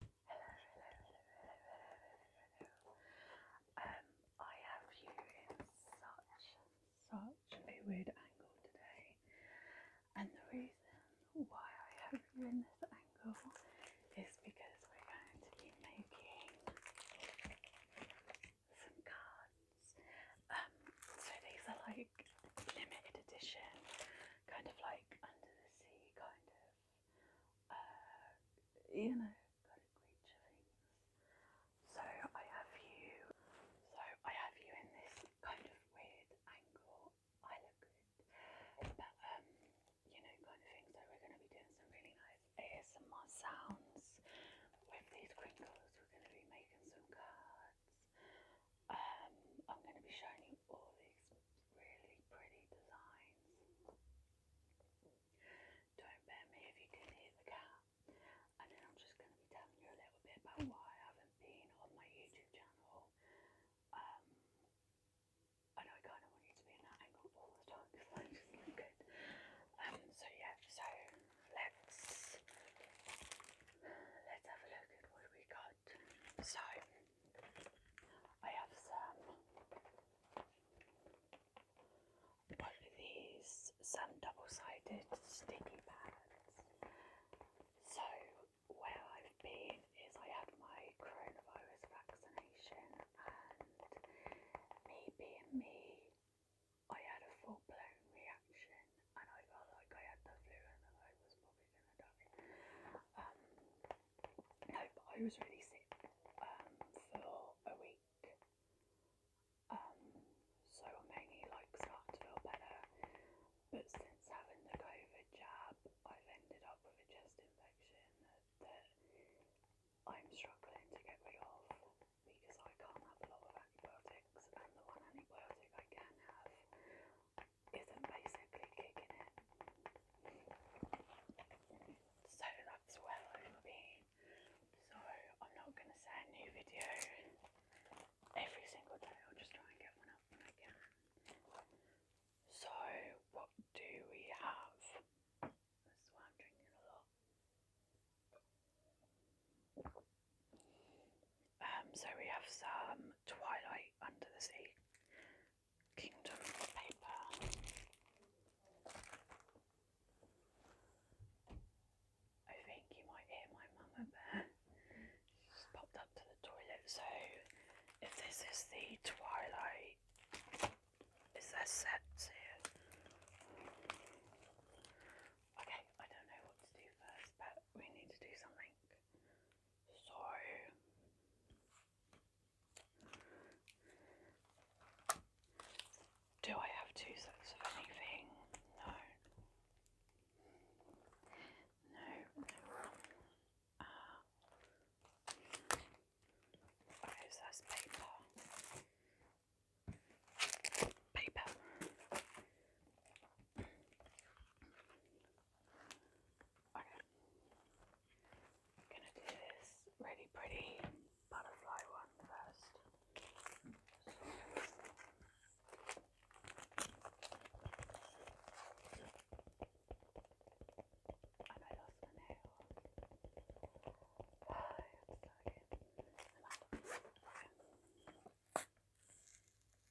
Um, I have you in such, such a weird angle today, and the reason why I have you in this angle is because we're going to be making some cards. Um, so these are like limited edition, kind of like under the sea, kind of uh, you know, kind of creature things. So I have you, so I have you in this kind of weird angle. I look good, but um, you know, kind of thing. So we're going to be doing some really nice ASMR sounds with these crinkles. We're going to be making some cards. Um, I'm going to be showing you all these really pretty designs. Don't bear me if you can hear the cat. And then I'm just going to be telling you a little bit about why I haven't been on my YouTube channel. Um, I know I kind of want you to be in that angle all the time good. Um, so yeah, so let's let's have a look at what we got so I have some one of these some double-sided sticky pads. So where I've been is I had my coronavirus vaccination and me being me I had a full blown reaction and I felt like I had the flu and I was probably gonna die. Um, no, I was really sick um, for a week. Um, so I mainly like start to feel better. But since having the COVID jab, I've ended up with a chest infection that I'm struggling to get rid of because I can't have a lot of antibiotics, and the one antibiotic I can have, isn't basically kicking it. So that's where I've So I'm not going to say a new video every single day, I'll just try and get one up when I can. So, what do we have? Um, so we have some Twilight Under the Sea. Kingdom paper. I think you might hear my mum up popped up to the toilet. So, if this is the Twilight, is there sets Okay, I don't know what to do first, but we need to do something. So do I have two sets of anything? No. No, no. Uh, okay, paper. Paper. Okay. I'm going to do this really pretty butterfly one first. And I lost my nail. Oh, I'm sorry. And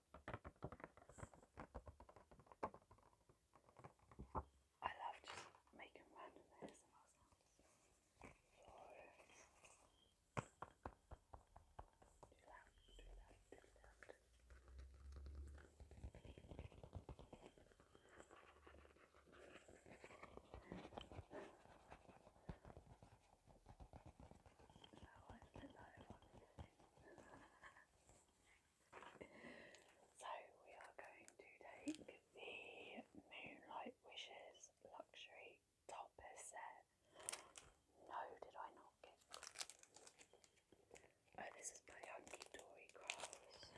I love just making random ASMR sounds. So, do that, do that, do that so we are going to take the Moonlight Wishes luxury topper set. No, did I not get? Oh, this is by Hunky Dory Crafts.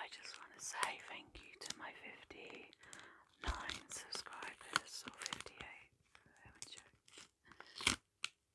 I just want to say thank you to my 59 subscribers or 58.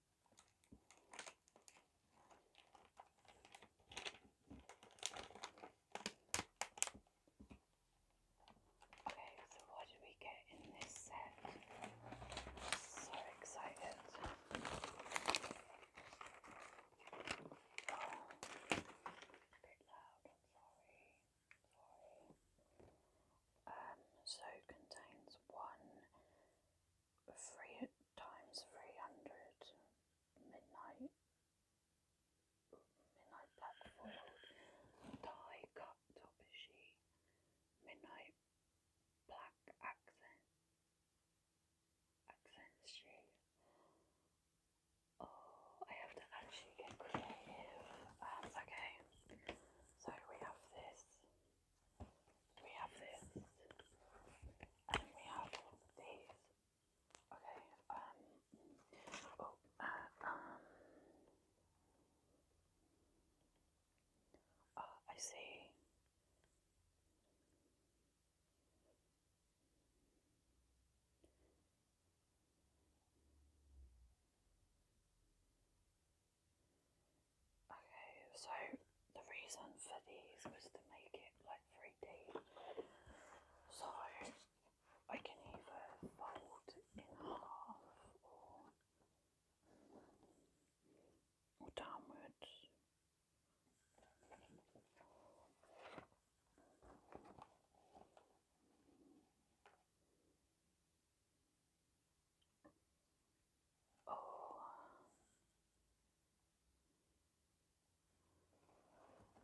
Okay, so what did we get in this set? so excited. bit loud, I'm sorry. Sorry. Um, so contains one three times three hundred midnight midnight blackford tie cut topishi midnight black accent accent shade. Oh, I have to actually get creative. Um, okay, so we have this we have this, and we have these. Okay, um, oh, uh, um, oh, I see. Okay, so the reason for these was to make it like 3D. So I can either fold in half or downwards. Oh.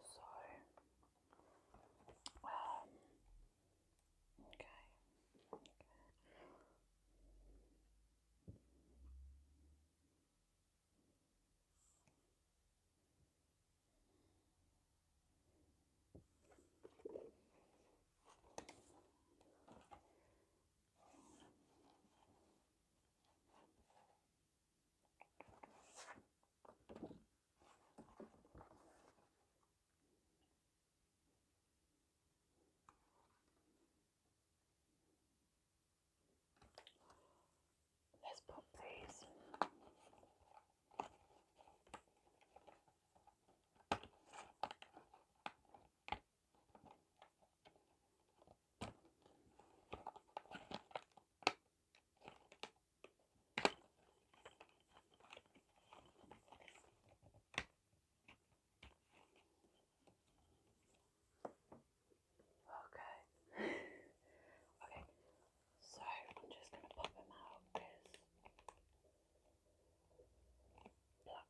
So, um, okay. okay. Let's put these Okay. okay. So I'm just gonna pop them out because black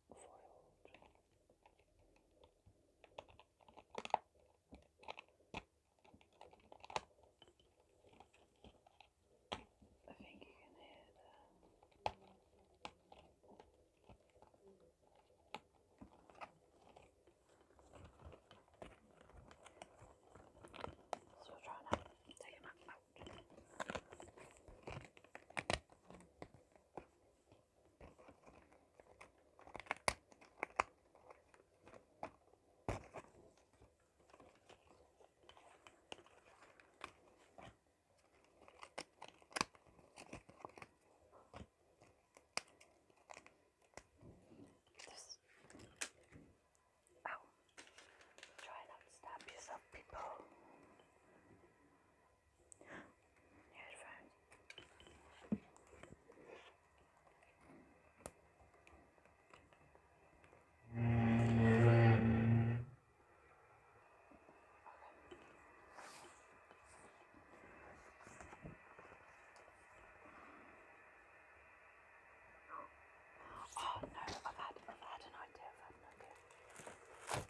I think you can hear them. So we'll take them out. Out. This. Oh, try not to stab yourself, people. Yes, friends. Oh no, I've had, I've had an idea.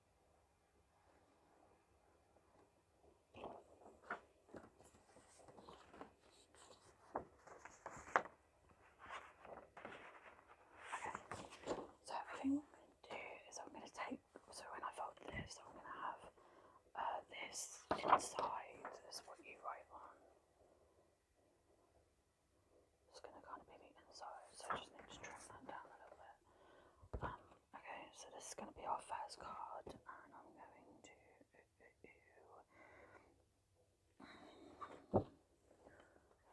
So I think I'm going to do is I'm going to take, so when I fold this, I'm going to have uh, this inside is what you write on. It's going to kind of be inside, so I just need to trim that down a little bit. Um, Okay, so this is going to be our first card, and I'm going to.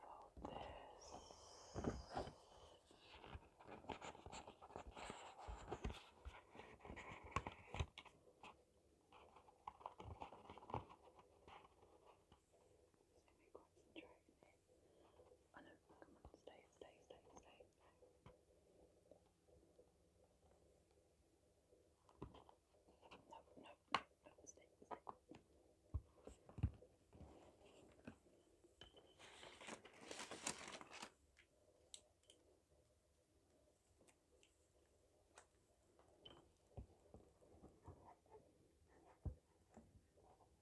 Fold this. Oh no, come on, stay, stay, stay, stay. No, no, no, no, stay,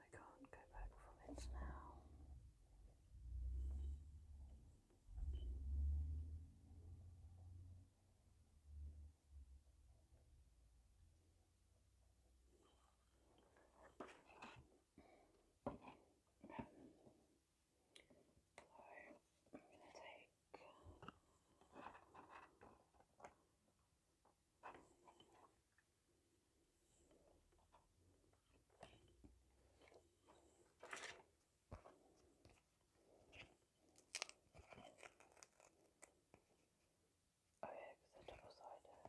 I can't go back from it now. I'm going to take Oh yeah, because they're double-sided.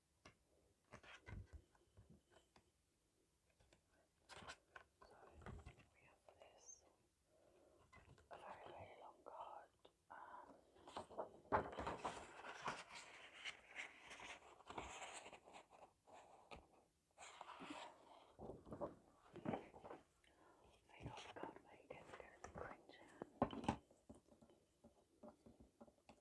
this a very, very long card. Um, I got a card where you get to go to the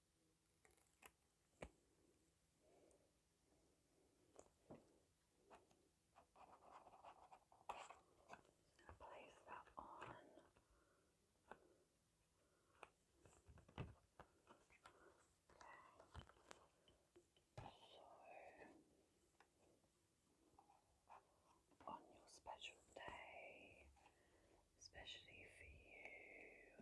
going place that on. Okay. So on your special day, especially for you.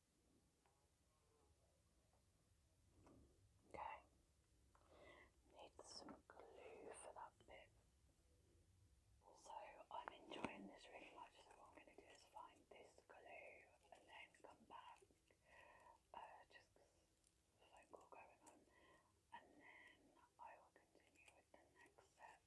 Okay. Need some glue for that bit. So I'm enjoying this really much, so what I'm going to do is find this glue and then come back. Uh, just phone call going on. And then I will continue with the next set.